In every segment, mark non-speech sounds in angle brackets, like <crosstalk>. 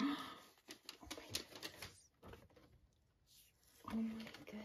oh my goodness. Oh my goodness.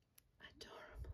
Adorable.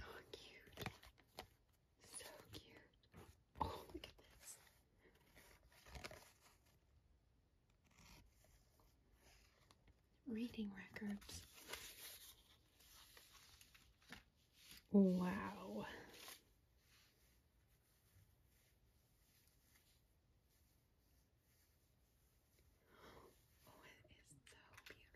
Oh, cute. So cute. Oh, look at this reading records. Wow. Oh, it is so beautiful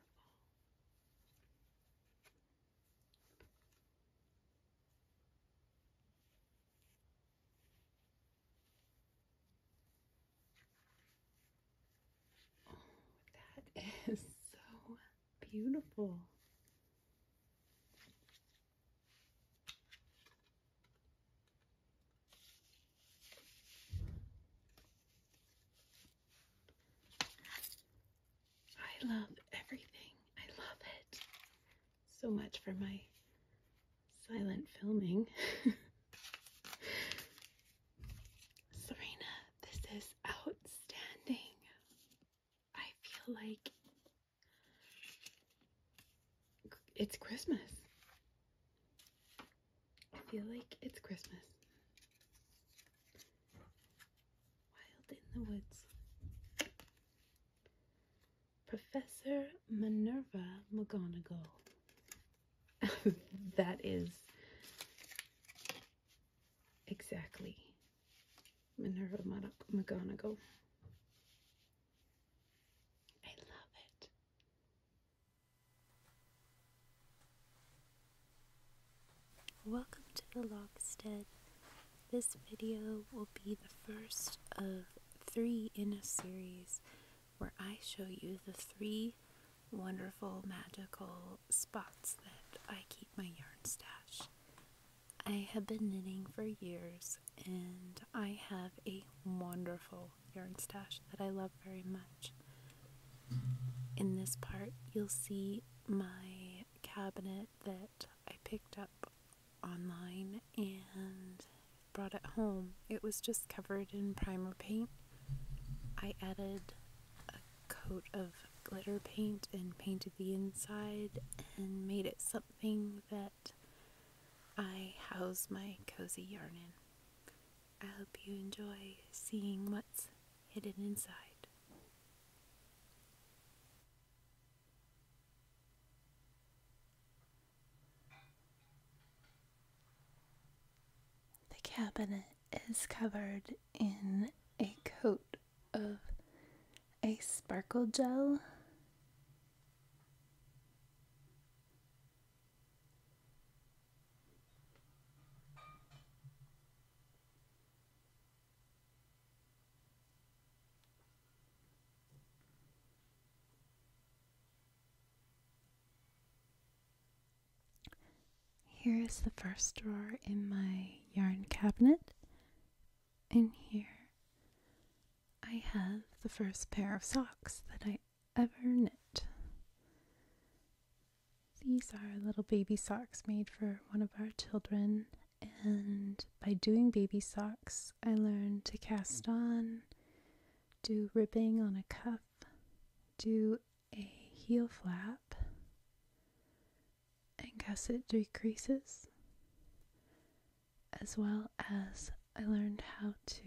that is so beautiful. I love everything. I love it. So much for my silent filming. <laughs> Serena, this is outstanding. I feel like it's Christmas. I feel like it's Christmas. Wild in the Woods. Professor Minerva McGonagall <laughs> that is exactly Minerva McGonagall. I love it. Welcome to the Lockstead. This video will be the first of three in a series where I show you the three wonderful magical spots that I keep my yarn stash. I have been knitting for years and I have a wonderful yarn stash that I love very much. In this part, you'll see my cabinet that I picked up online and brought it home. It was just covered in primer paint. I added coat of glitter paint and painted the inside and made it something that I house my cozy yarn in. I hope you enjoy seeing what's hidden inside. The cabinet is covered in a coat of a sparkle gel. Here is the first drawer in my yarn cabinet. In here, I have the first pair of socks that I ever knit. These are little baby socks made for one of our children, and by doing baby socks, I learned to cast on, do ribbing on a cuff, do a heel flap and guess it decreases, as well as I learned how to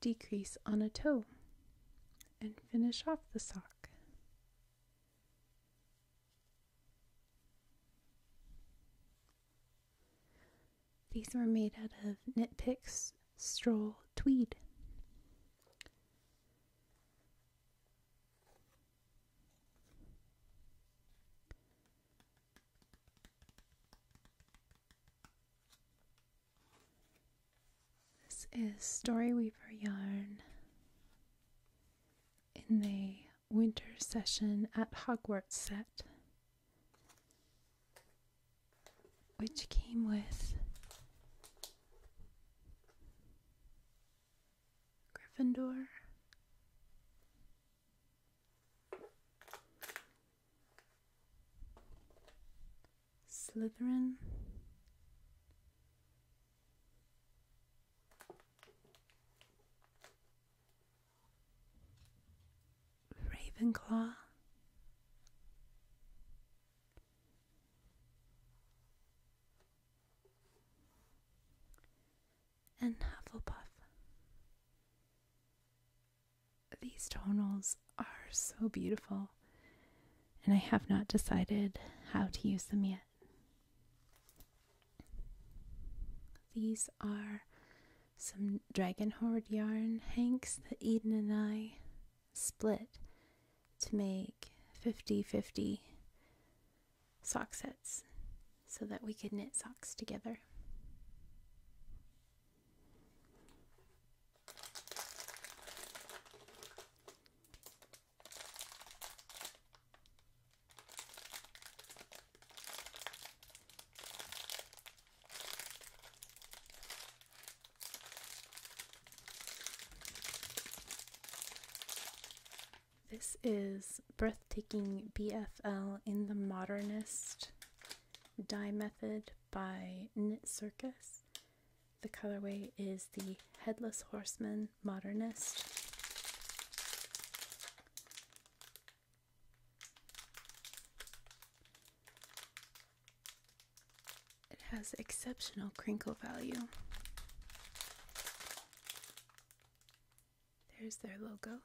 decrease on a toe and finish off the sock. These were made out of Knit Picks Stroll Tweed. This is Storyweaver yarn in the winter session at Hogwarts set which came with Gryffindor. Slytherin, Ravenclaw. And Hufflepuff. These tonals are so beautiful, and I have not decided how to use them yet. These are some from Dragonhorde yarn, Hanks, the Eden, and I split to make 50 50 sock sets so that we could knit socks together. This is Breathtaking BFL in the Modernist Dye Method by Knit Circus. The colorway is the Headless Horseman Modernist. It has exceptional crinkle value. There's their logo.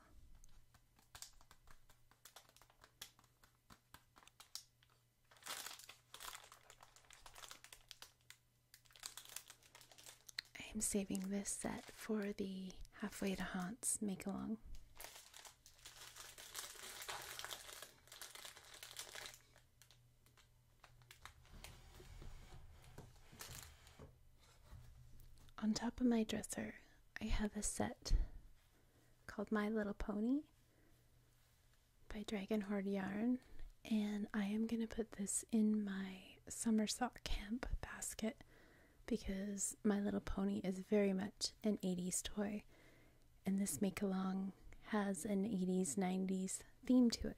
I'm saving this set for the Halfway to Haunts make along. On top of my dresser, I have a set called My Little Pony by Dragon Horde Yarn, and I am going to put this in my Somersault camp basket because My Little Pony is very much an 80s toy and this make along has an 80s 90s theme to it.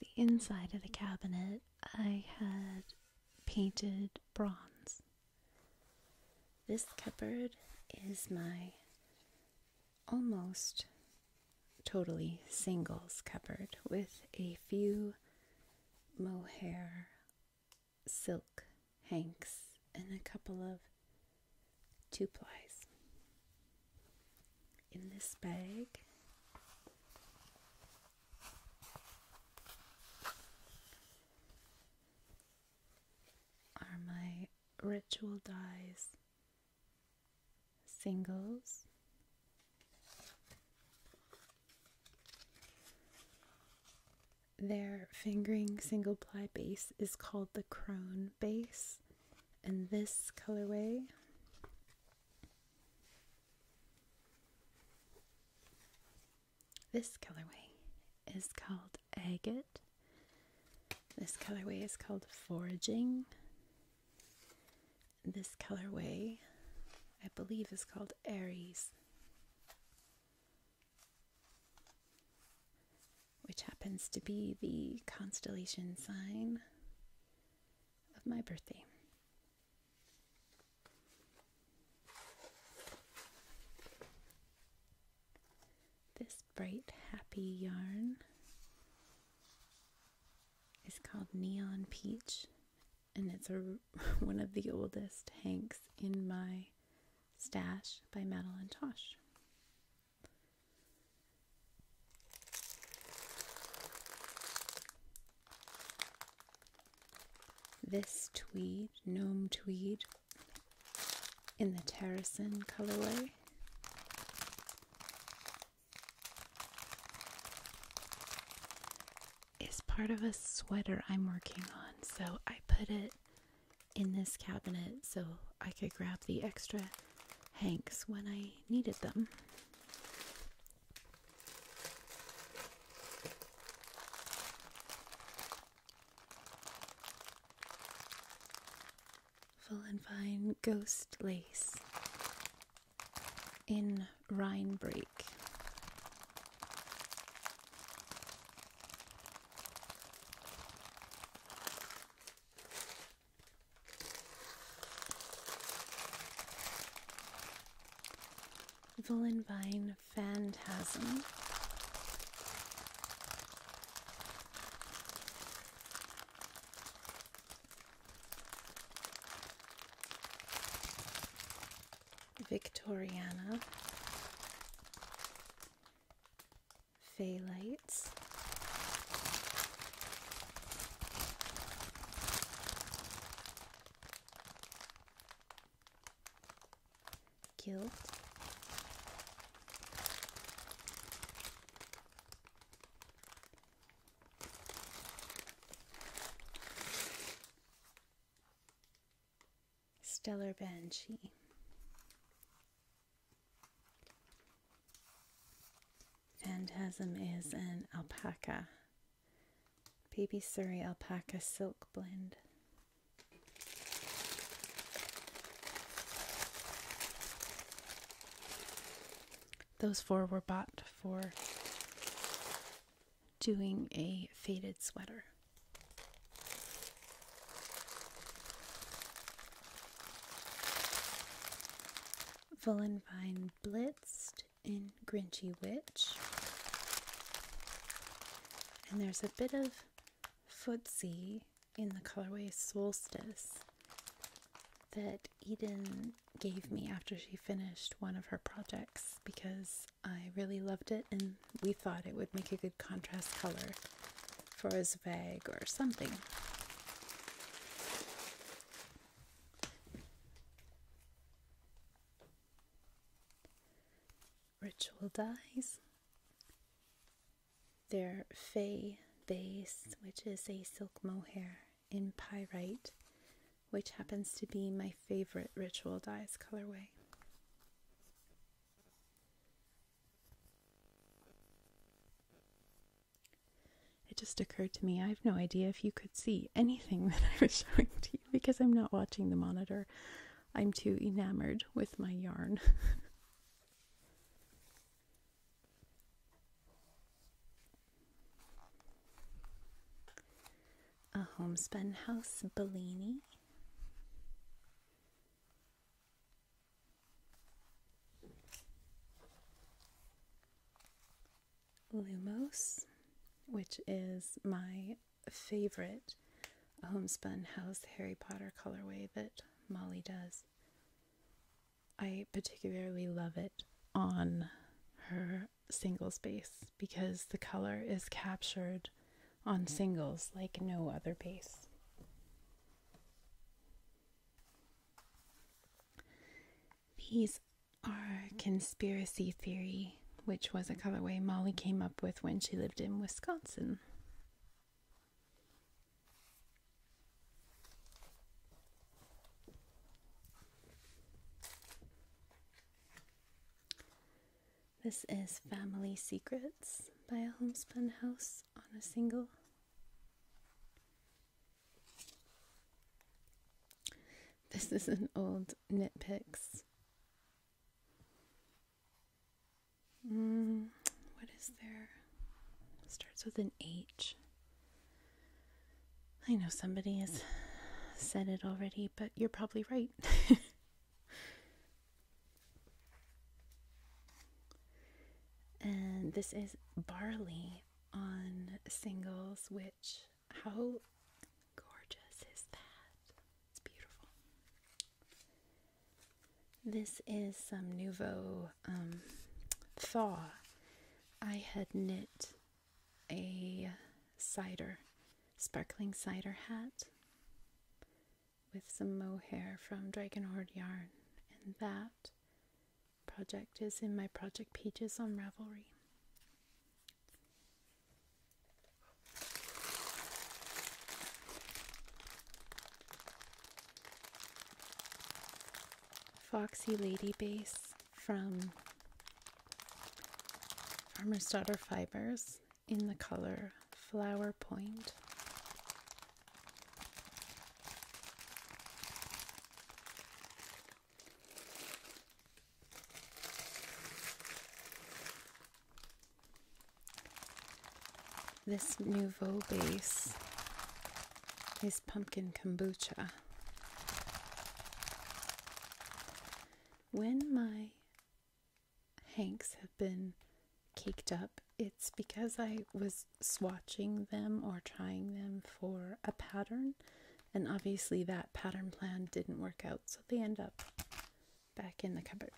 The inside of the cabinet I had painted bronze. This cupboard is my almost totally singles cupboard with a few mohair silk hanks and a couple of two plies. In this bag, are my ritual dyes singles their fingering single ply base is called the Crone base, and this colorway This colorway is called Agate. This colorway is called Foraging. This colorway, I believe, is called Aries which happens to be the constellation sign of my birthday. This bright, happy yarn is called Neon Peach and it's a, <laughs> one of the oldest hanks in my stash by Madeline Tosh. This tweed, gnome tweed, in the Terracine colorway is part of a sweater I'm working on. So I put it in this cabinet so I could grab the extra hanks when I needed them. Full and Fine Ghost Lace in on Rhine break. Phantasm. Victoriana, Phthalates, Guilt, Stellar Banshee. Phantasm is an alpaca. Baby Surrey alpaca silk blend. Those four were bought for doing a faded sweater. Vullenvine Blitzed in Grinchy Witch. And there's a bit of footsie in the colorway Solstice that Eden gave me after she finished one of her projects because I really loved it, and we thought it would make a good contrast color for his bag or something. Ritual dyes. They're Fay based which is a silk mohair in pyrite which happens to be my favorite ritual dyes colorway. It just occurred to me I have no idea if you could see anything <laughs> that I was showing to you because I'm not watching the monitor. I'm too enamored with my yarn. <laughs> a homespun house Bellini. Lumos, which is my favorite homespun house Harry Potter colorway that Molly does. I particularly love it on her single space because the color is captured on mm-hmm. singles like no other bass. These are conspiracy theory, which was a mm-hmm. colorway Molly came up with when she lived in Wisconsin. This is Family Secrets by a Homespun House on a Single. This is an old nitpicks. Mm, what is there? starts with an H. I know somebody has said it already, but you're probably right. <laughs> And this is barley on singles, which, how gorgeous is that? It's beautiful. This is some Nouveau um, Thaw. I had knit a cider, sparkling cider hat with some mohair from Dragon Horde yarn, and that project is in my Project pages on Ravelry. Foxy Lady Base from Farmer's Daughter Fibers in the color Flower Point. This Nouveau base is pumpkin kombucha. When my hanks have been caked up, it's because I was swatching them or trying them for a pattern, and obviously that pattern plan didn't work out, so they end up back in the cupboard.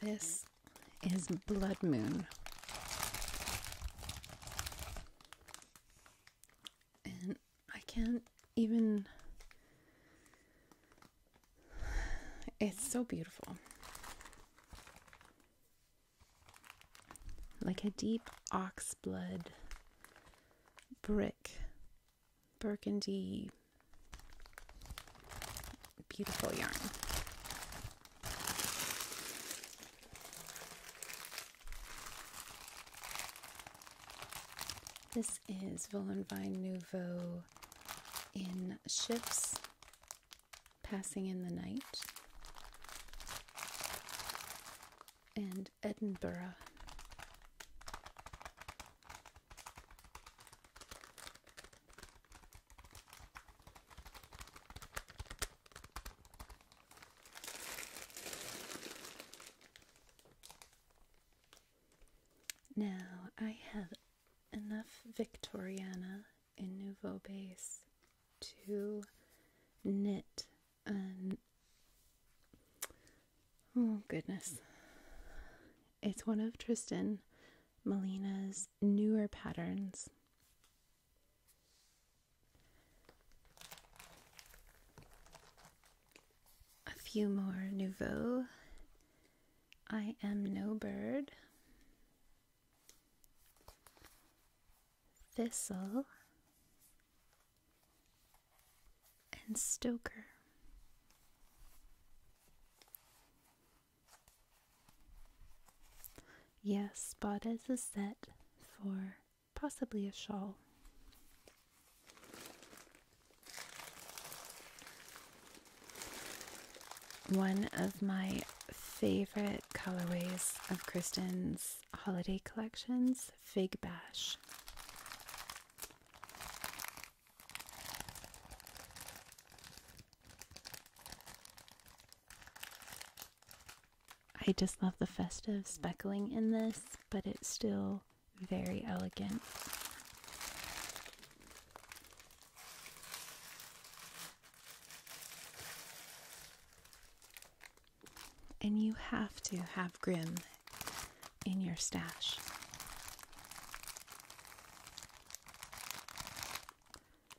This is Blood Moon. And I can't even. It's so beautiful. Like a deep ox blood brick burgundy beautiful yarn. This is Volenvine Nouveau in Ships Passing in the Night and Edinburgh. Now I have enough Victoriana in Nouveau Base to knit oh goodness. It's one of Tristan Molina's newer patterns a few more nouveau. I am no bird. Thistle and Stoker. Yes, bought as a set for possibly a shawl. One of my favorite colorways of Kristen's holiday collections, Fig Bash. I just love the festive speckling in this, but it's still very elegant. And you have to have Grim in your stash.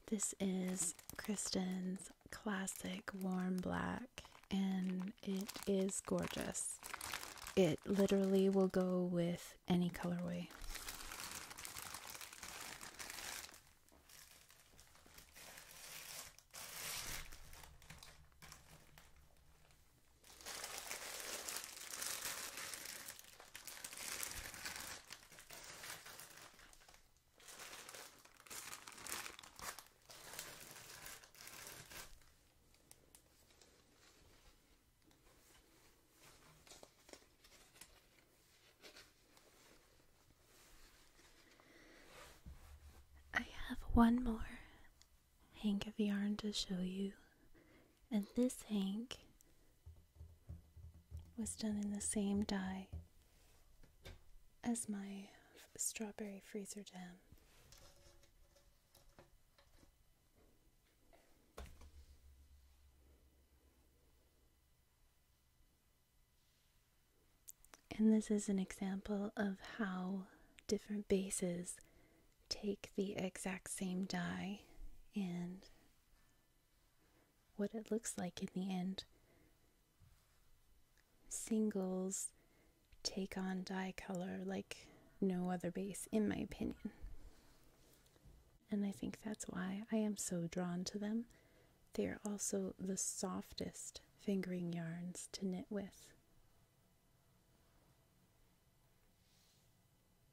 This is Kristen's classic warm black, and it is gorgeous. It literally will go with any colorway. I have one more hank of yarn to show you, and this hank was done in the same dye as my strawberry freezer jam. And this is an example of how different bases take the exact same dye and what it looks like in the end. Singles take on dye color like no other base, in my opinion. And I think that's why I am so drawn to them. They are also the softest fingering yarns to knit with.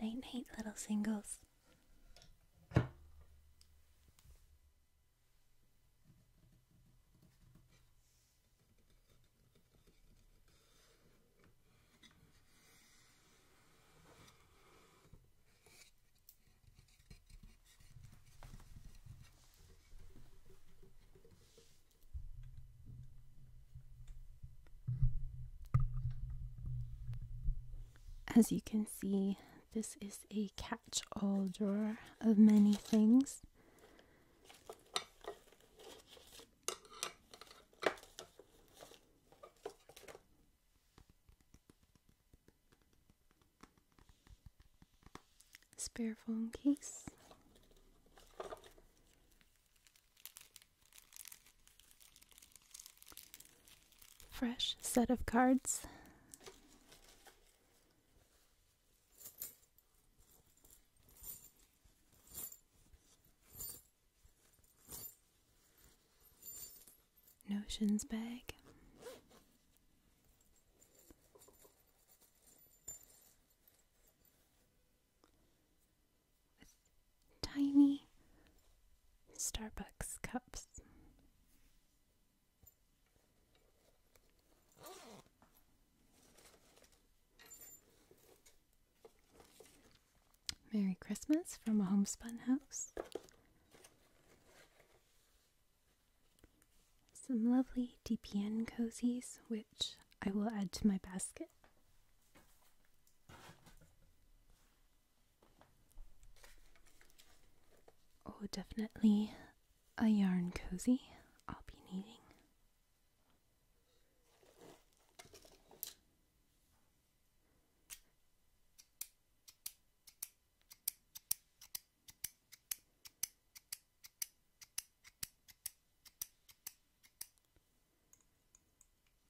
Night night, little singles. As you can see, this is a catch-all drawer of many things. Spare phone case. Fresh set of cards. Notions bag. With tiny Starbucks cups. Merry Christmas from a homespun house. Some lovely DPN cozies, which I will add to my basket. Oh, definitely a yarn cozy I'll be needing.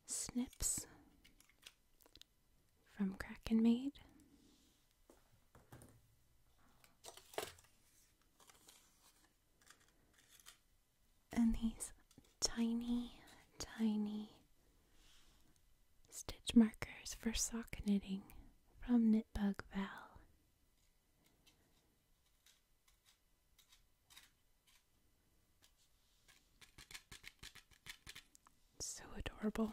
Snips from Kraken Made and these tiny, tiny stitch markers for sock knitting from Knitbug Val. So adorable.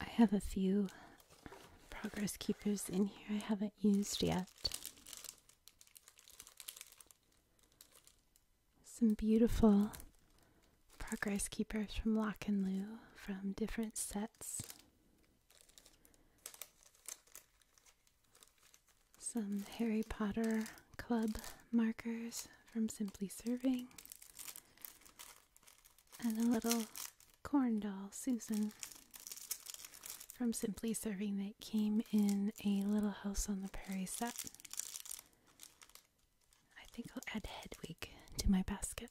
I have a few progress keepers in here I haven't used yet. Some beautiful progress keepers from Lock and Lou from different sets some Harry Potter Club markers from Simply Serving, and a little corn doll, Susan, from Simply Serving that came in a Little House on the Prairie set. I think I'll add Hedwig to my basket.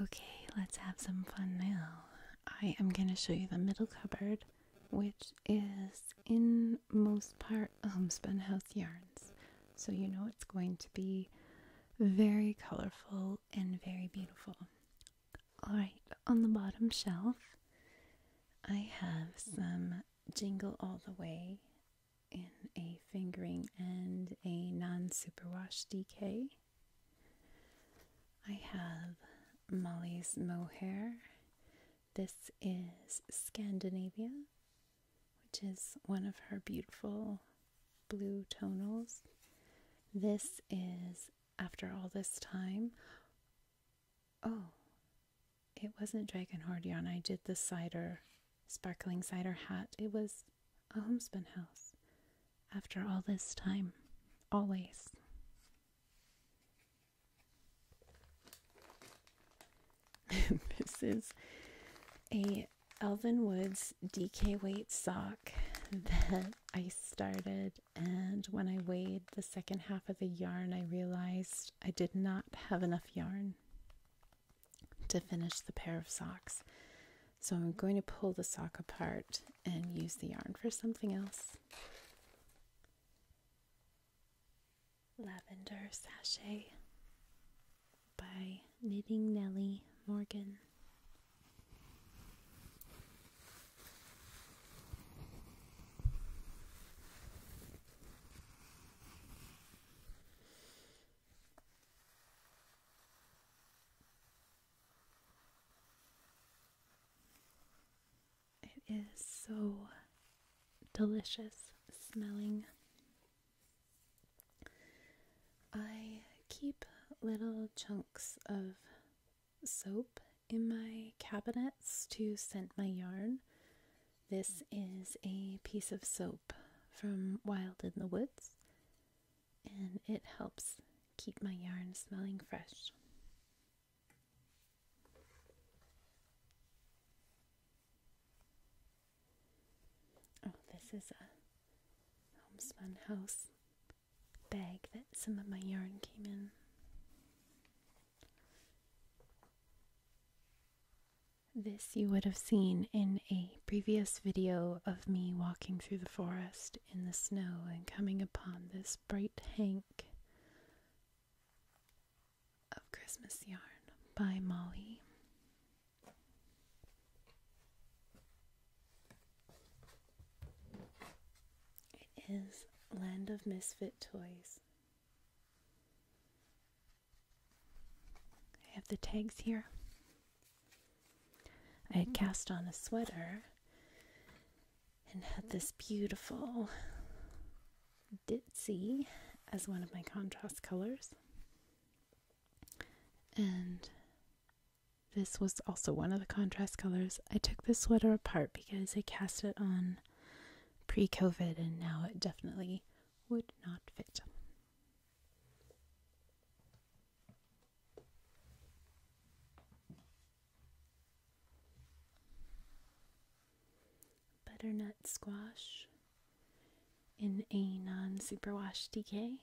Okay, let's have some fun now. I am going to show you the middle cupboard, which is in most part homespun um, house yarns. So you know it's going to be very colorful and very beautiful. Alright, on the bottom shelf, I have some Jingle All the Way in a fingering and a non superwash DK. I have Molly's Mohair. This is Scandinavia, which is one of her beautiful blue tonals. This is after all this time. Oh, it wasn't dragonhorn yarn. I did the cider, sparkling cider hat. It was a homespun house after all this time, always. <laughs> this is a Elvin Woods DK weight sock that I started and when I weighed the second half of the yarn I realized I did not have enough yarn to finish the pair of socks. So I'm going to pull the sock apart and use the yarn for something else. Lavender Sachet by Knitting Nellie Morgan. It is so delicious smelling. I keep little chunks of soap in my cabinets to scent my yarn this is a piece of soap from Wild in the Woods, and it helps keep my yarn smelling fresh. Oh, this is a homespun house bag that some of my yarn came in. This you would have seen in a previous video of me walking through the forest in the snow and coming upon this bright hank of Christmas yarn by Molly. It is Land of Misfit Toys. I have the tags here. I had mm-hmm. cast on a sweater and had this beautiful ditzy as one of my contrast colors. And this was also one of the contrast colors. I took the sweater apart because I cast it on pre COVID and now it definitely would not fit. Butternut squash in a non superwash DK.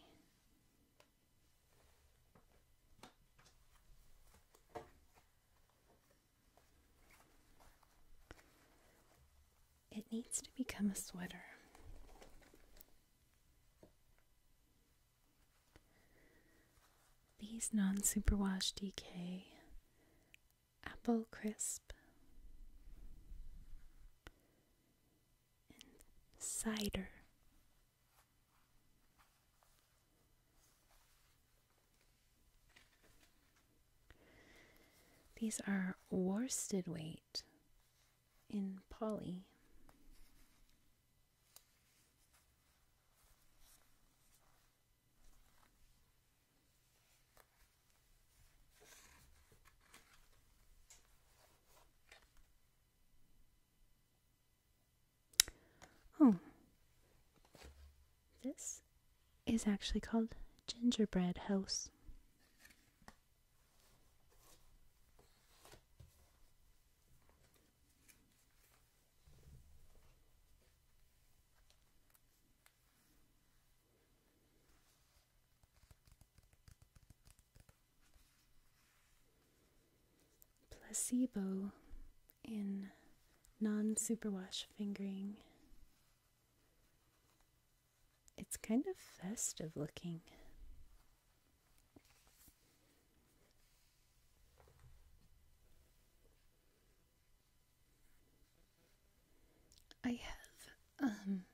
It needs to become a sweater. These non superwash DK apple crisp and cider. These are worsted weight in poly. Oh, this is actually called Gingerbread House. Placebo in non superwash fingering. It's kind of festive looking. I have um,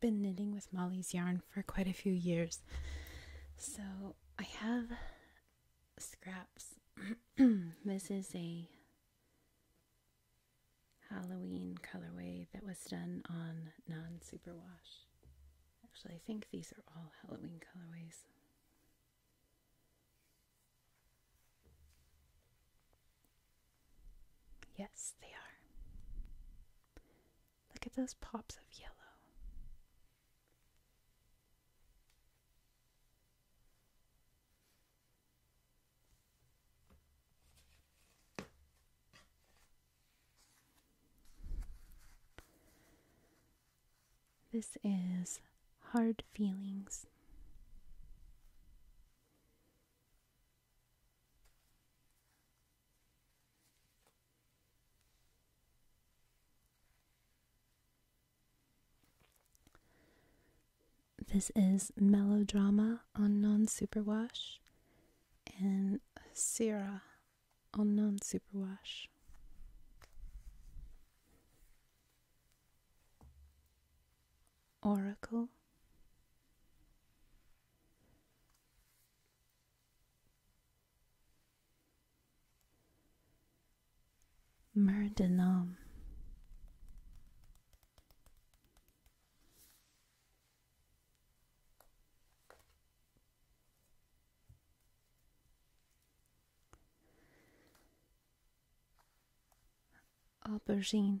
been knitting with Molly's yarn for quite a few years, so I have scraps. <clears throat> this is a Halloween colorway that was done on non superwash. Actually, I think these are all Halloween colorways. Yes, they are. Look at those pops of yellow. This is Hard Feelings. This is Melodrama on Non Superwash and Sierra on Non Superwash. Oracle. Murdenam aubergine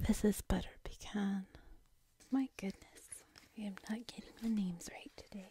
This is butter pecan. My goodness, I am not getting the names right today.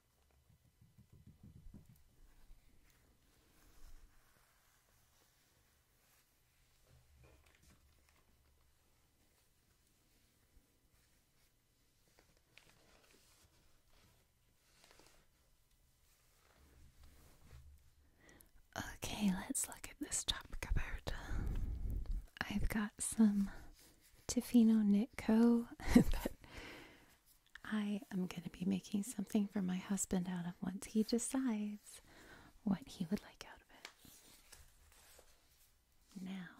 Okay, let's look at this top cupboard. I've got some Tifino Knit Co. <laughs> I am going to be making something for my husband out of once he decides what he would like out of it. Now,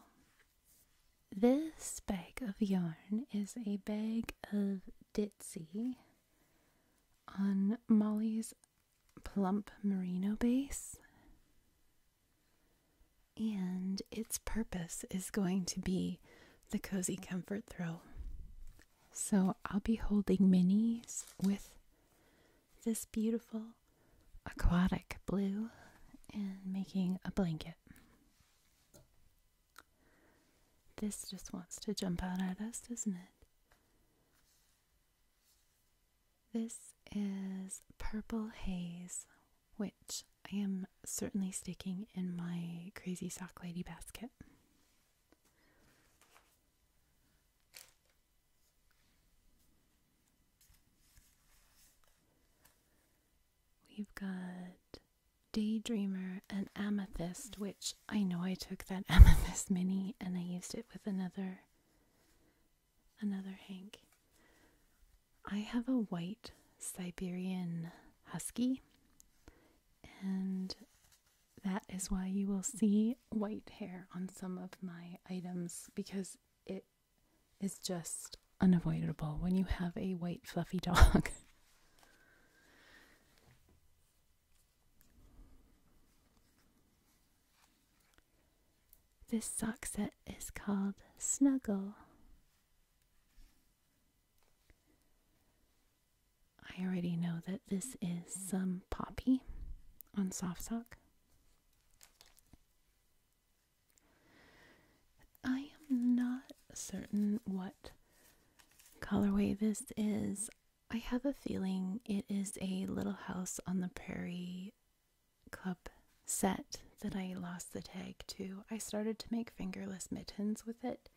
this bag of yarn is a bag of Ditzy on Molly's plump merino base. And its purpose is going to be the cozy comfort throw. So I'll be holding minis with this beautiful aquatic blue and making a blanket. This just wants to jump out at us, doesn't it? This is Purple Haze, which I am certainly sticking in my Crazy Sock Lady basket. We've got Daydreamer and Amethyst, which I know I took that <laughs> Amethyst mini and I used it with another another Hank. I have a white Siberian husky and that is why you will see white hair on some of my items because it is just unavoidable when you have a white fluffy <laughs> dog. this sock set is called Snuggle. I already know that this is some poppy on soft sock. I am not certain what colorway this is. I have a feeling it is a Little House on the Prairie Club set that I lost the tag to. I started to make fingerless mittens with it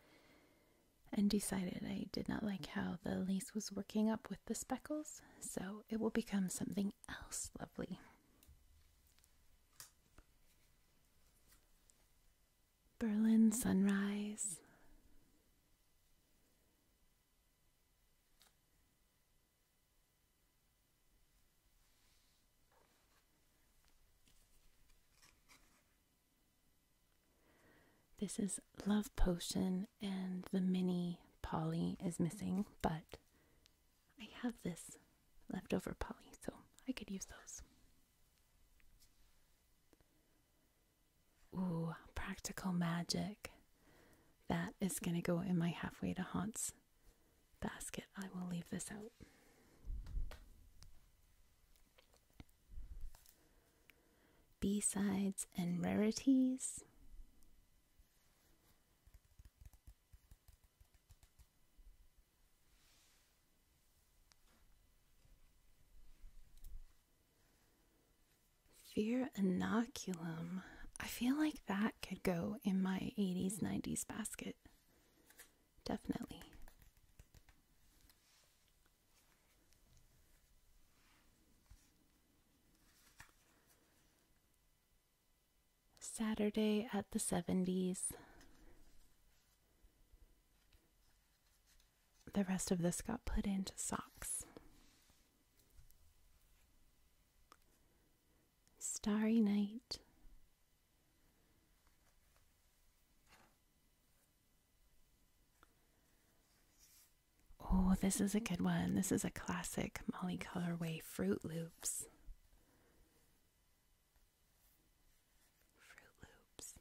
and decided I did not like how the lace was working up with the speckles, so it will become something else lovely. Berlin sunrise. This is Love Potion, and the mini Polly is missing, but I have this leftover Polly, so I could use those. Ooh, practical magic. That is going to go in my halfway to haunts basket. I will leave this out. B sides and rarities. Fear Inoculum. I feel like that could go in my 80s, 90s basket. Definitely. Saturday at the 70s. The rest of this got put into socks. Starry night. Oh, this is a good one. This is a classic Molly Colorway Fruit Loops. Fruit Loops.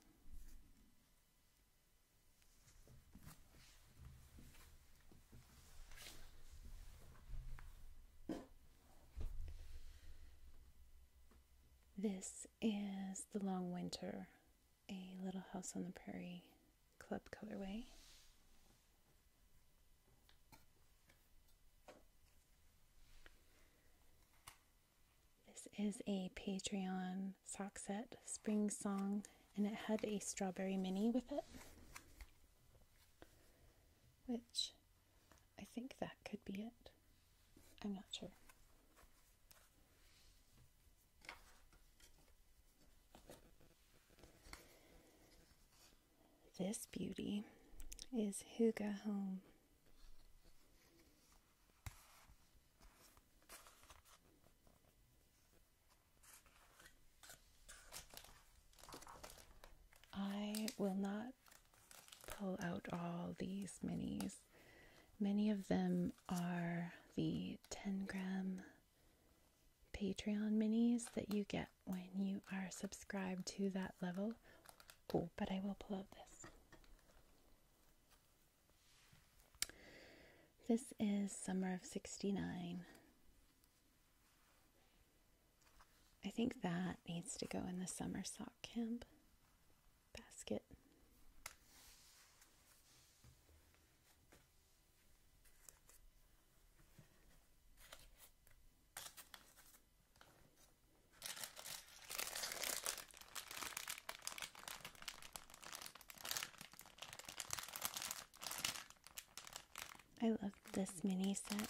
This is the Long Winter, a Little House on the Prairie club colorway. This is a Patreon sock set, Spring Song, and it had a strawberry mini with it, which I think that could be it. I'm not sure. This beauty is Huga Home. I will not pull out all these minis Many of them are the 10 gram Patreon minis that you get when you are subscribed to that level. but I will pull out this. This is Summer of 69. I think that needs to go in the summer sock camp basket. I love this mini set.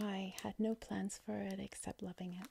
I had no plans for it except loving it.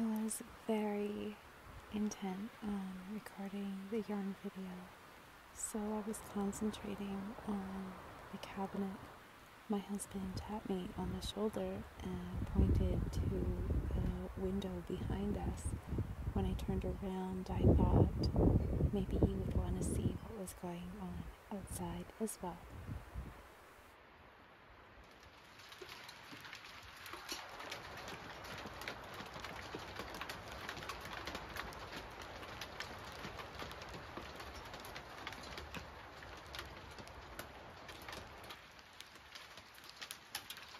I was very intent on recording the yarn video, so I was concentrating on the cabinet. My husband tapped me on the shoulder and pointed to the window behind us when I turned around, I thought maybe he would want to see what was going on outside as well.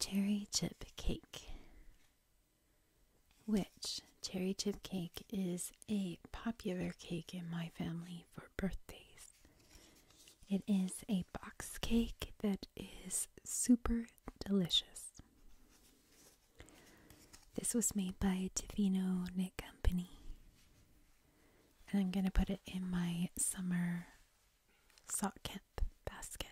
Cherry chip cake, which cherry chip cake is a popular cake in my family for birthdays. It is a box cake that is super delicious. This was made by Tivino Knit Company. And I'm going to put it in my summer sock camp basket.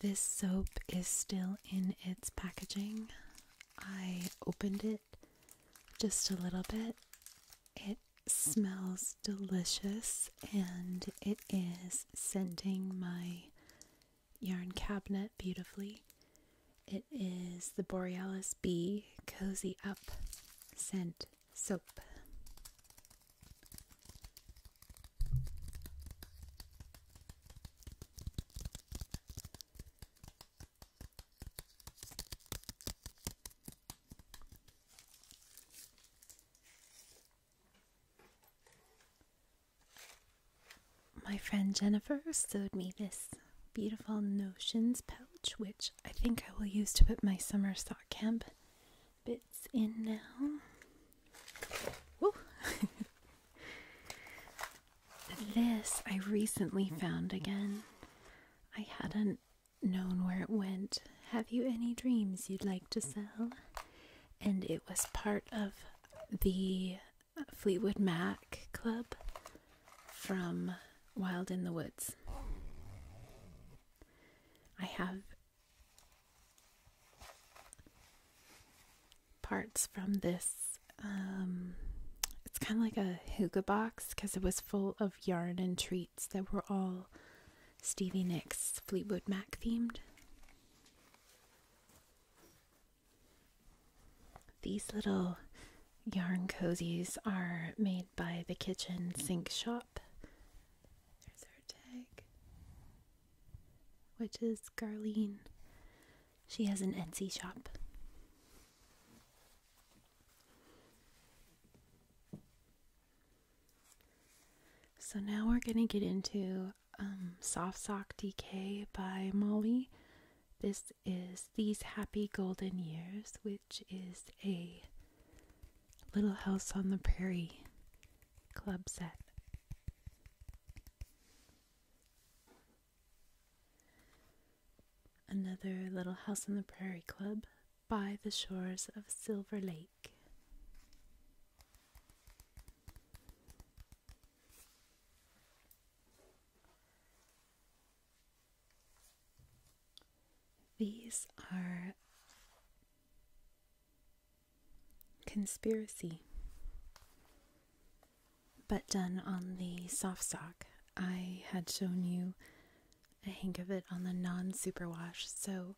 This soap is still in its packaging. I opened it just a little bit. It smells delicious and it is scenting my yarn cabinet beautifully. It is the Borealis B Cozy Up Scent Soap. My friend Jennifer sewed me this beautiful notions pouch, which I think I will use to put my summer sock camp bits in now. <laughs> This I recently found again. I hadn't known where it went. Have you any dreams you'd like to sell? And it was part of the Fleetwood Mac Club from Wild in the Woods. I have parts from this. Um, it's kind of like a hookah box because it was full of yarn and treats that were all Stevie Nicks Fleetwood Mac themed. These little yarn cozies are made by the Kitchen Sink Shop. There's our tag, which is Garlene she has an Etsy shop. So now we're going to get into um, Soft Sock Decay by Molly. This is These Happy Golden Years, which is a Little House on the Prairie club set. Another little house in the prairie club by the shores of Silver Lake. These are conspiracy but done on the soft sock. I had shown you a hank of it on the non superwash. So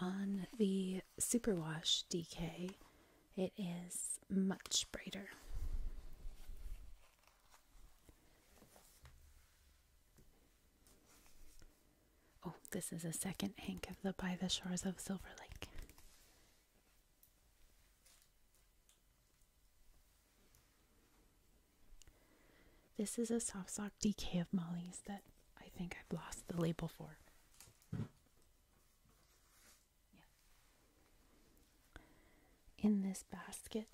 on the superwash DK, it is much brighter. Oh, this is a second hank of the By the Shores of Silver Lake. This is a soft sock DK of Molly's that I think I've lost the label for. Yeah. In this basket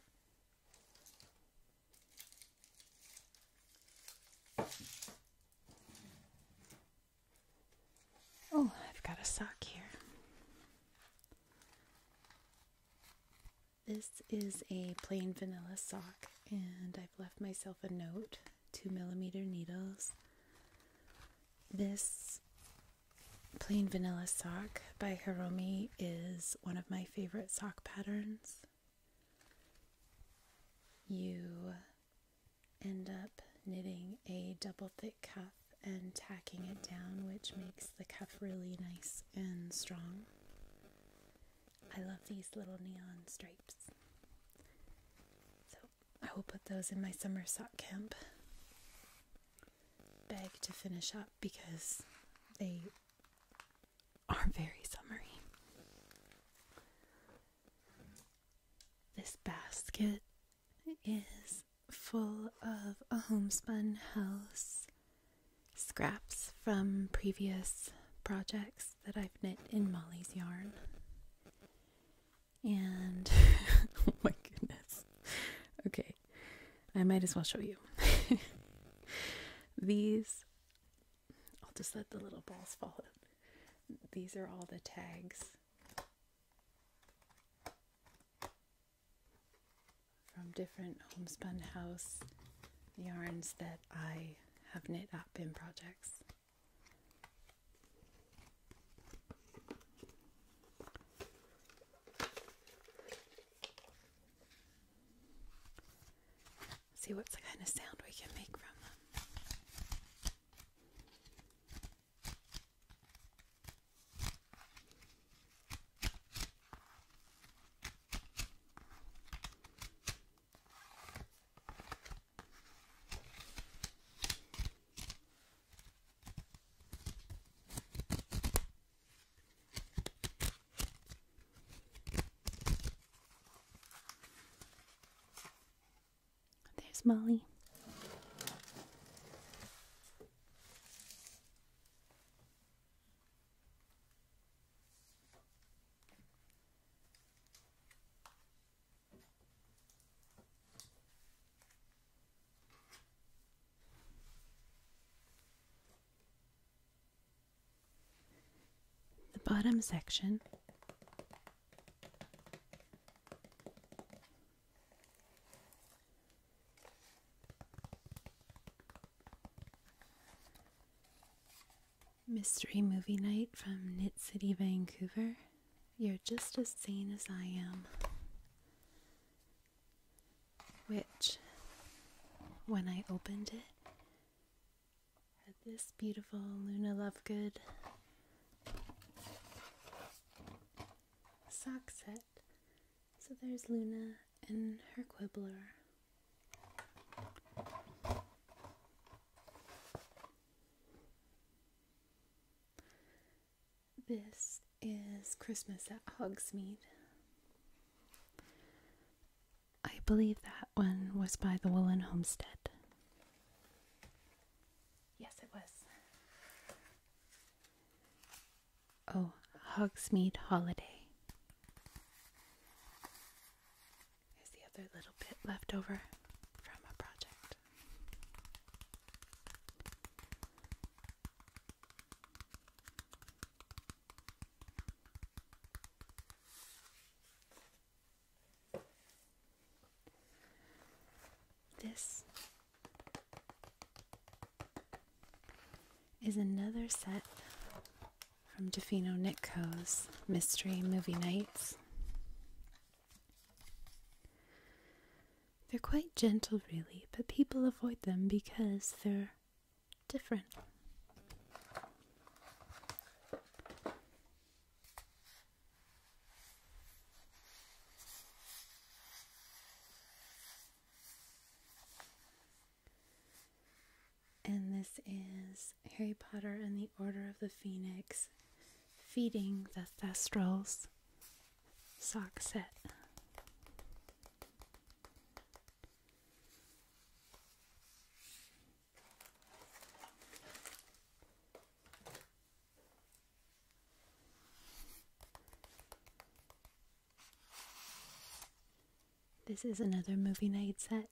Oh, I've got a sock here. This is a plain vanilla sock, and I've left myself a note two millimeter needles. This plain vanilla sock by Hiromi is one of my favorite sock patterns. You end up knitting a double thick cuff and tacking it down, which makes the cuff really nice and strong. I love these little neon stripes. So I will put those in my summer sock camp bag to finish up because they are very summery. This basket is full of a homespun house, scraps from previous projects that I've knit in Molly's yarn. And <laughs> oh my goodness. Okay, I might as well show you. <laughs> These, I'll just let the little balls fall. These are all the tags from different homespun house yarns that I have knit up in projects. See what's kind of sound we can make from them. There's Molly. The bottom section Mystery movie night from Knit City, Vancouver. You're just as sane as I am. Which, when I opened it, had this beautiful Luna Lovegood sock set so there's Luna and her quibbler. This is Christmas at Hogsmeade. I believe that one was by the Woolen Homestead. Yes, it was. Oh, Hogsmeade Holiday. There's the other little bit left over from a project. This is another set from Defino Nitko's Mystery Movie Nights. They're quite gentle, really, but people avoid them because they're different. And this is Harry Potter and the Order of the Phoenix feeding the Thestrals sock set. This is another movie night set.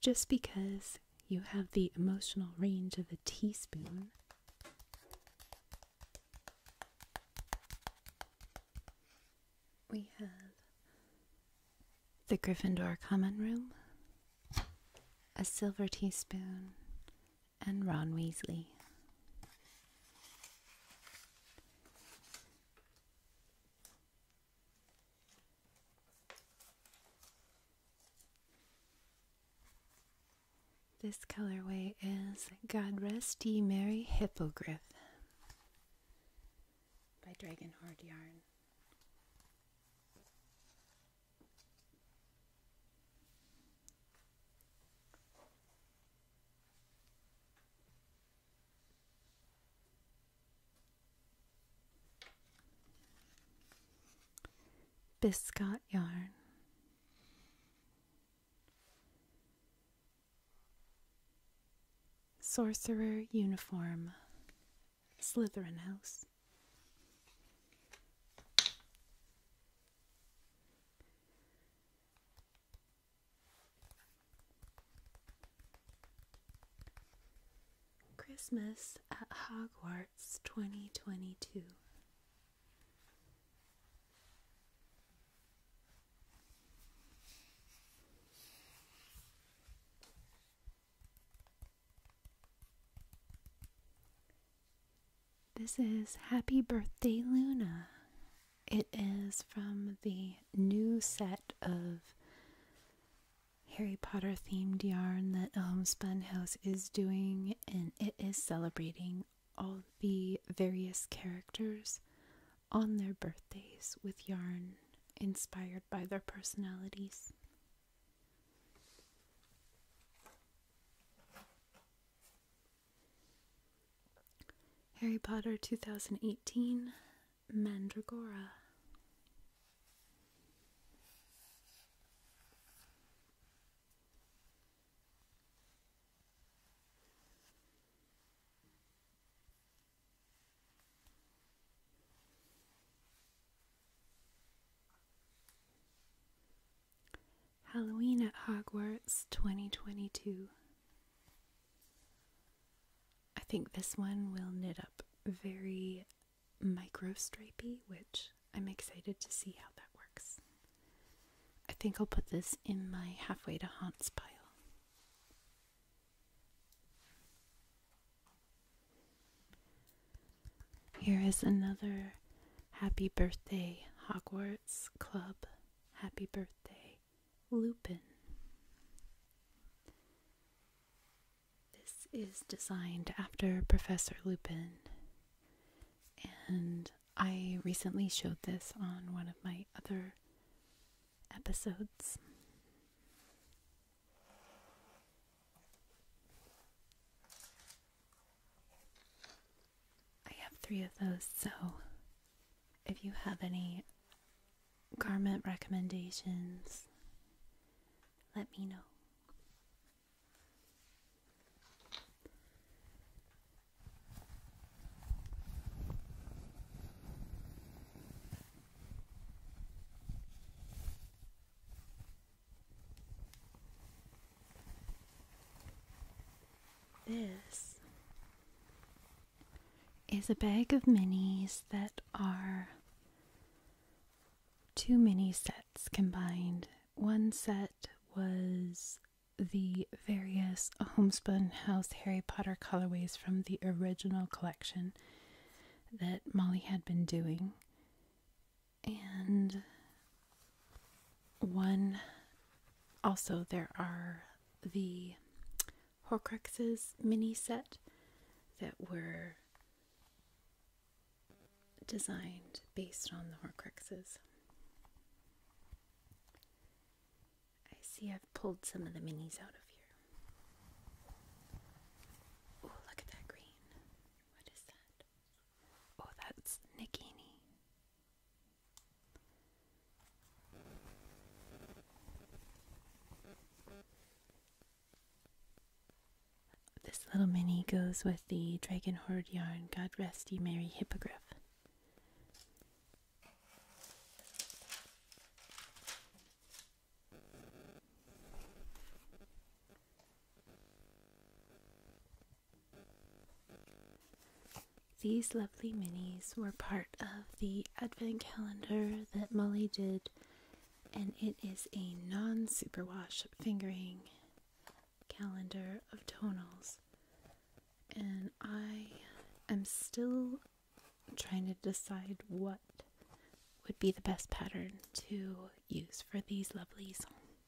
Just because you have the emotional range of a teaspoon. We have the Gryffindor Common Room, a silver teaspoon, and Ron Weasley. This colorway is God Rest Ye Merry Hippogriff by Dragon Dragonheart Yarn. Biscott yarn. Sorcerer uniform. Slytherin house. Christmas at Hogwarts 2022. This is Happy Birthday Luna. It is from the new set of Harry Potter themed yarn that Homespun um, House is doing, and it is celebrating all the various characters on their birthdays with yarn inspired by their personalities. Harry Potter 2018 Mandragora. Halloween at Hogwarts 2022. I think this one will knit up very micro stripey, which I'm excited to see how that works. I think I'll put this in my halfway to haunts pile. Here is another Happy birthday, Hogwarts Club. Happy birthday, Lupin. This is designed after Professor Lupin, and I recently showed this on one of my other episodes. I have three of those, so if you have any garment recommendations, let me know. This is a bag of minis that are two mini sets combined. One set was the various Homespun House Harry Potter colorways from the original collection that Molly had been doing. And one, also, there are the Horcruxes mini set that were designed based on the Horcruxes. I see I've pulled some of the minis out of here. Oh, look at that green. What is that? Oh, that's Nikini. This little mini goes with the Dragon Horde yarn, God Rest Ye Merry Hippogriff. These lovely minis were part of the advent calendar that Molly did, and it is a non superwash fingering calendar of tonals. And I am still trying to decide what would be the best pattern to use for these lovelies.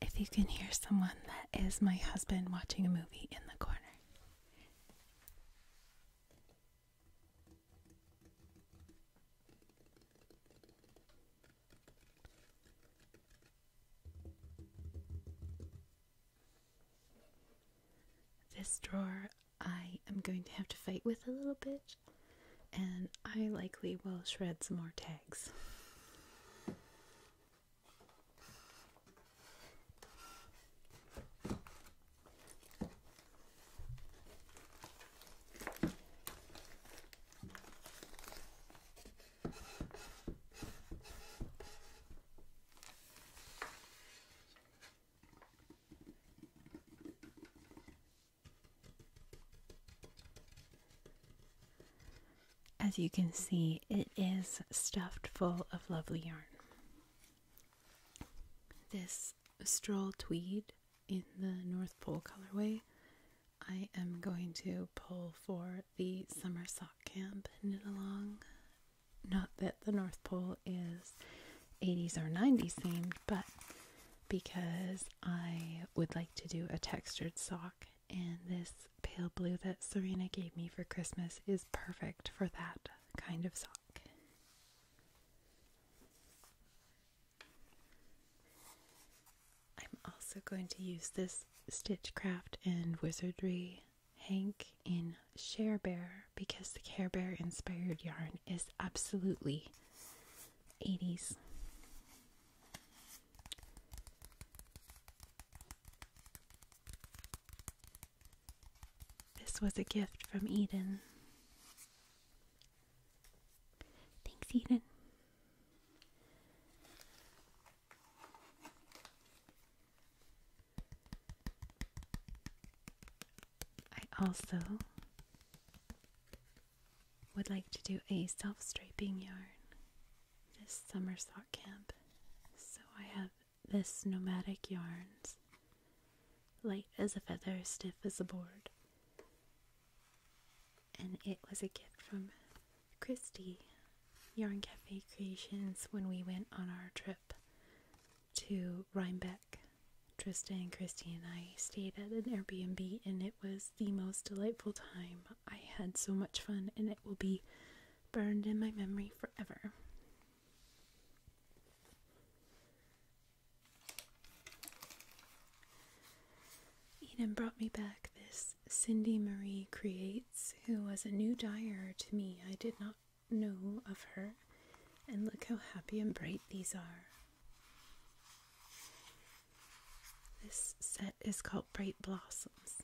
If you can hear someone, that is my husband watching a movie in the corner. This drawer I am going to have to fight with a little bit, and I likely will shred some more tags. As you can see, it is stuffed full of lovely yarn. This stroll tweed in the North Pole colorway, I am going to pull for the summer sock camp knit along. Not that the North Pole is 80s or 90s themed, but because I would like to do a textured sock, and this pale blue that Serena gave me for Christmas is perfect for that kind of sock. I'm also going to use this Stitchcraft and Wizardry Hank in Share Bear because the Care Bear inspired yarn is absolutely 80s. This was a gift from Eden. Thanks, Eden. I also would like to do a self striping yarn this summer sock camp. So I have this nomadic yarns, light as a feather, stiff as a board. And it was a gift from Christy Yarn Cafe Creations when we went on our trip to Rhinebeck. Trista and Christy and I stayed at an Airbnb, and it was the most delightful time. I had so much fun, and it will be burned in my memory forever. Eden brought me back this Cindy Marie Creates, who was a new dyer to me. I did not know of her, and look how happy and bright these are. This set is called Bright Blossoms.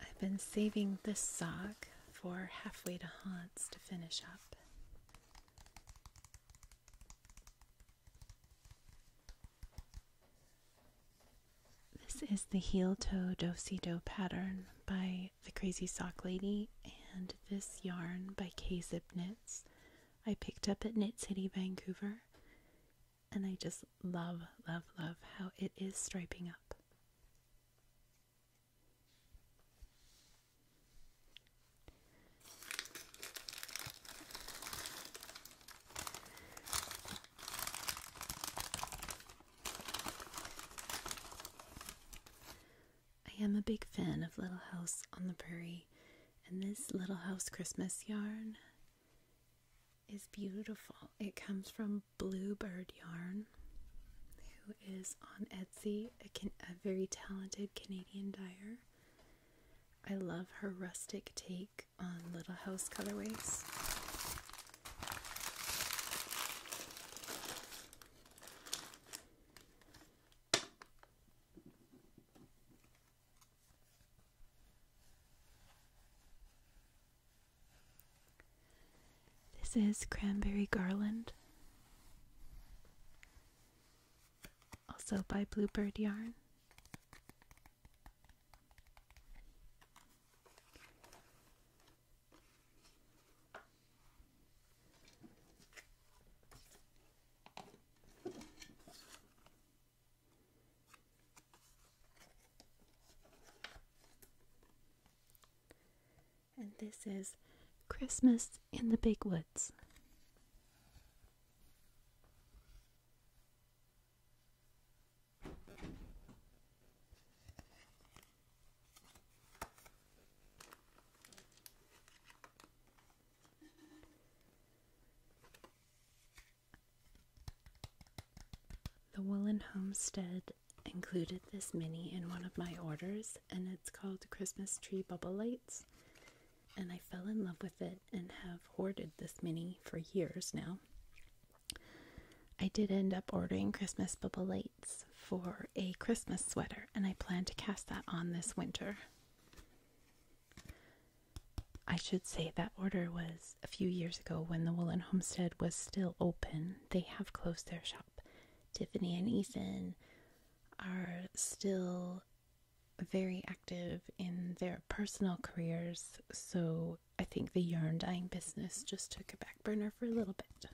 I've been saving this sock for halfway to haunts to finish up. This is the heel toe do si do pattern by the Crazy Sock Lady and this yarn by K Zip Knits. I picked up at Knit City Vancouver and I just love, love, love how it is striping up. I am a big fan of Little House on the Prairie, and this Little House Christmas yarn is beautiful. It comes from Bluebird Yarn, who is on Etsy, a, very talented Canadian dyer. I love her rustic take on Little House colorways. This is Cranberry Garland, also by Bluebird Yarn. And this is Christmas in the Big Woods. The Woolen Homestead included this mini in one of my orders, and it's called Christmas Tree Bubble Lights. And I fell in love with it and have hoarded this mini for years now. I did end up ordering Christmas lights for a Christmas sweater, and I plan to cast that on this winter. I should say that order was a few years ago when the Woolen Homestead was still open. They have closed their shop. Tiffany and Ethan are still very active in their personal careers, so I think the yarn dyeing business just took a back burner for a little bit.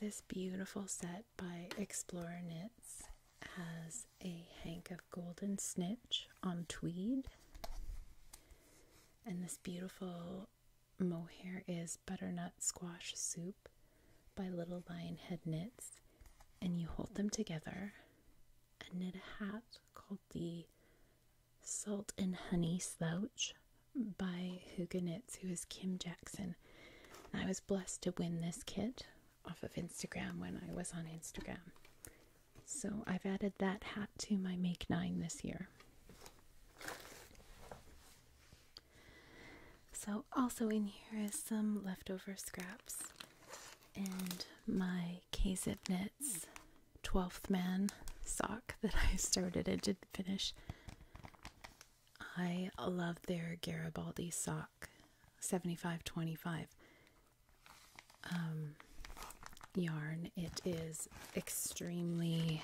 This beautiful set by Explorer Knits has a hank of golden snitch on tweed, and this beautiful mohair is butternut squash soup by little lion head knits and you hold them together and knit a hat called the Salt and Honey Slouch by Huga who is Kim Jackson. And I was blessed to win this kit off of Instagram when I was on Instagram. So I've added that hat to my Make Nine this year. So, also in here is some leftover scraps and my KZip Knits 12th Man sock <laughs> that I started and didn't finish. I love their Garibaldi sock 7525 um, yarn. It is extremely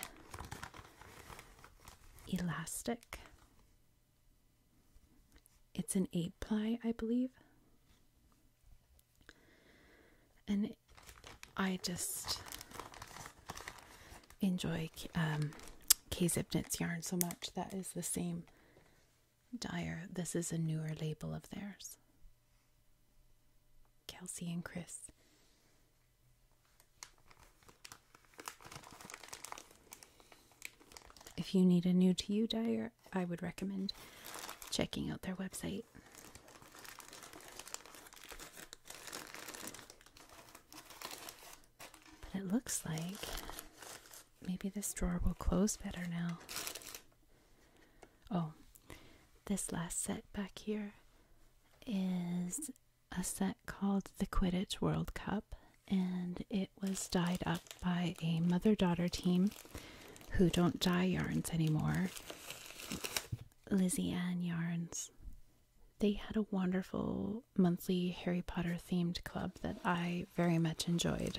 elastic it's an eight ply, I believe. And I just enjoy um, K Zipnit's yarn so much. That is the same dyer. This is a newer label of theirs. Kelsey and Chris. If you need a new to you dyer, I would recommend checking out their website. But it looks like maybe this drawer will close better now. Oh, this last set back here is a set called the Quidditch World Cup, and it was dyed up by a mother daughter team who don't dye yarns anymore. Lizzie Ann Yarns. They had a wonderful monthly Harry Potter themed club that I very much enjoyed.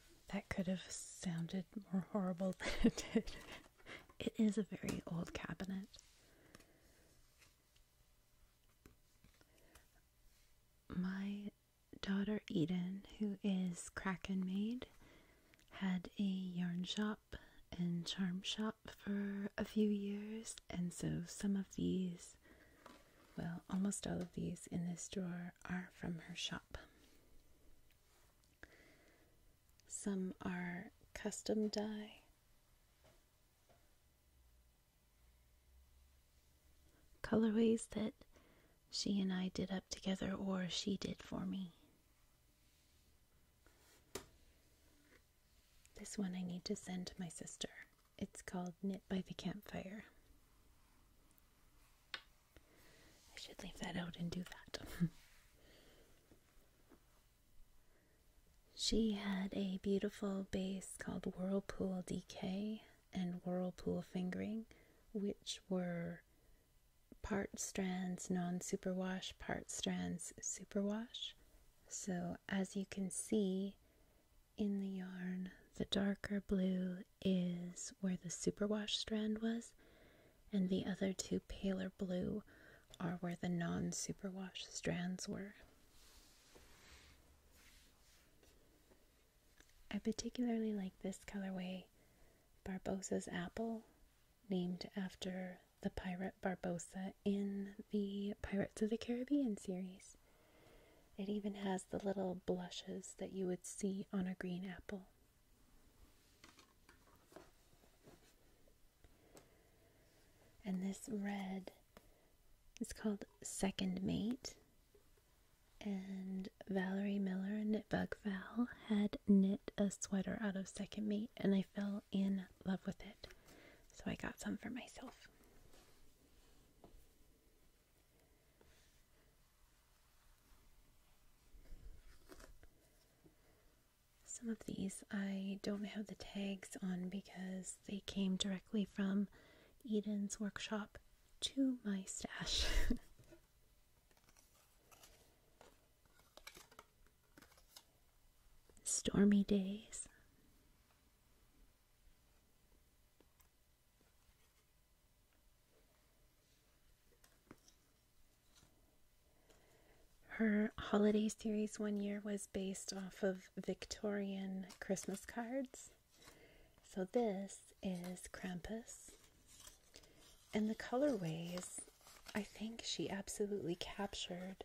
That could have sounded more horrible <laughs> than it did. It is a very old cabinet. My daughter Eden, who is Kraken Maid, had a yarn shop and charm shop for a few years, and so some of these, well, almost all of these in this drawer are from her shop. Some are custom dye. Colorways that she and I did up together, or she did for me. This one I need to send to my sister. It's called Knit by the Campfire. I should leave that out and do that. <laughs> she had a beautiful base called Whirlpool DK and Whirlpool Fingering, which were part strands non superwash, part strands superwash. So, as you can see in the yarn, the darker blue is where the superwash strand was, and the other two paler blue are where the non superwash strands were. I particularly like this colorway, Barbosa's Apple, named after the pirate Barbosa in the Pirates of the Caribbean series. It even has the little blushes that you would see on a green apple. And this red is called Second Mate. And Valerie Miller, Knit Bug Val, had knit a sweater out of Second Mate, and I fell in love with it. So I got some for myself. Some of these I don't have the tags on because they came directly from Eden's workshop to my stash. <laughs> Stormy days. Her holiday series one year was based off of Victorian Christmas cards. So this is Krampus. And the colorways, I think she absolutely captured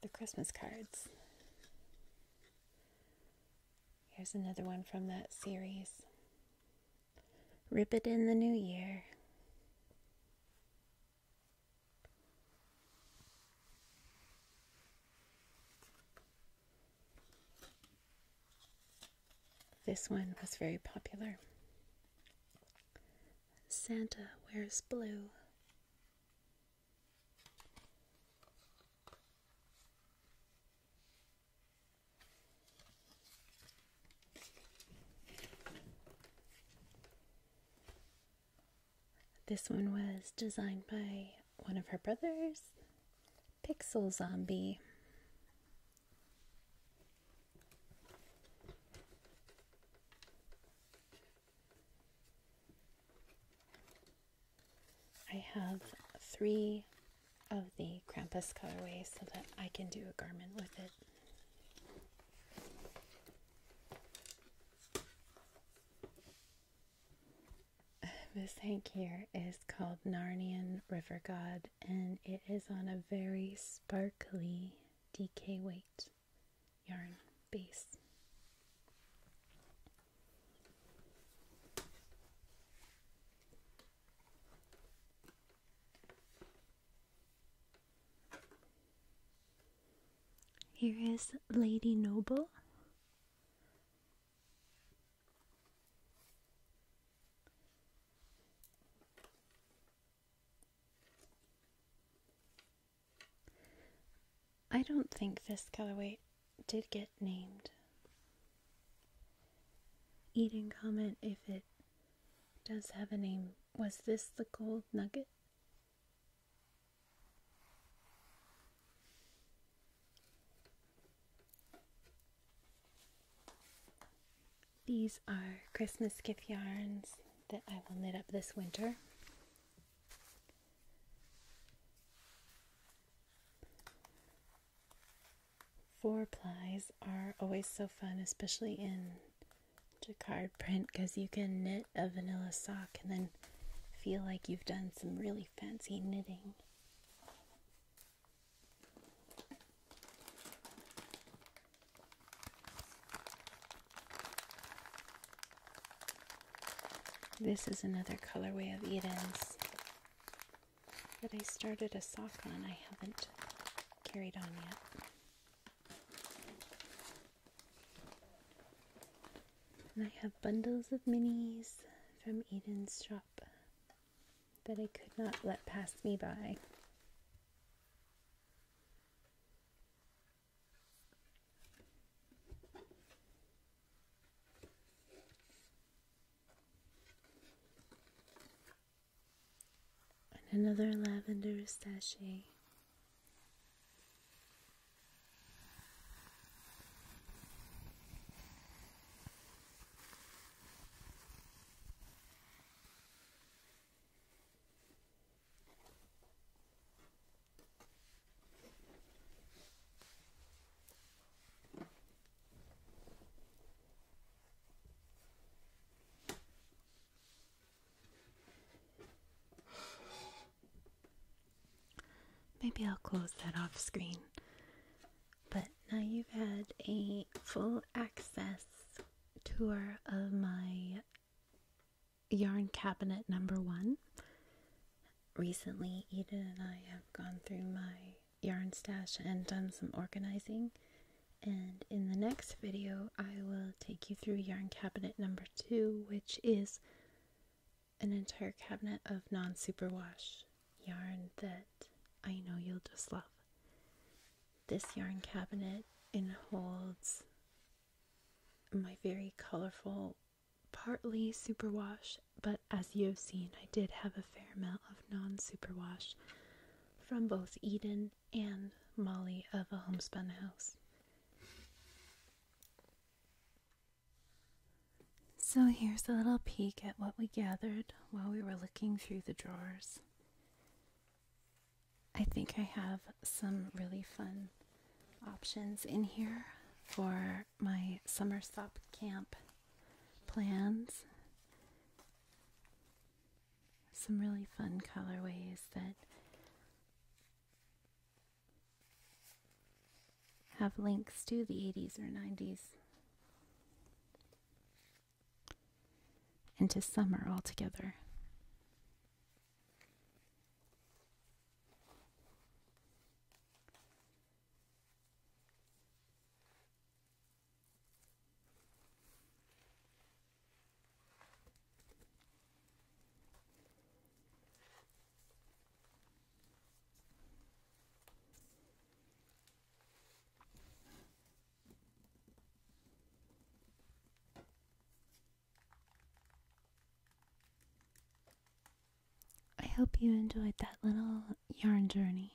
the Christmas cards. Here's another one from that series. Rip it in the new year. This one was very popular. Santa wears blue. This one was designed by one of her brothers, Pixel Zombie. I have three of the Krampus colorway so that I can do a garment with it. <sighs> This hank here is called Narnian River God and it is on a very sparkly DK weight yarn base. Here is Lady Noble. I don't think this colorway did get named. Eden comment if it does have a name. Was this the gold nugget? These are Christmas gift yarns that I will knit up this winter. Four plies are always so fun, especially in jacquard print, because you can knit a vanilla sock and then feel like you've done some really fancy knitting. This is another colorway of Eden's that I started a sock on I haven't carried on yet. And I have bundles of minis from Eden's shop that I could not let pass me by and another lavender sachet. Maybe I'll close that off screen. But now you've had a full access tour of my yarn cabinet number one. Recently, Eden and I have gone through my yarn stash and done some organizing. And in the next video, I will take you through yarn cabinet number two, which is an entire cabinet of non superwash yarn that I know you'll just love. This yarn cabinet and holds my very colorful, partly superwash but as you have seen, I did have a fair amount of non superwash from both Eden and Molly of a homespun house. So here's a little peek at what we gathered while we were looking through the drawers. I think I have some really fun options in here for my summer stop camp plans. Some really fun colorways that have links to the 80s or 90s and to summer altogether. I hope you enjoyed that little yarn journey.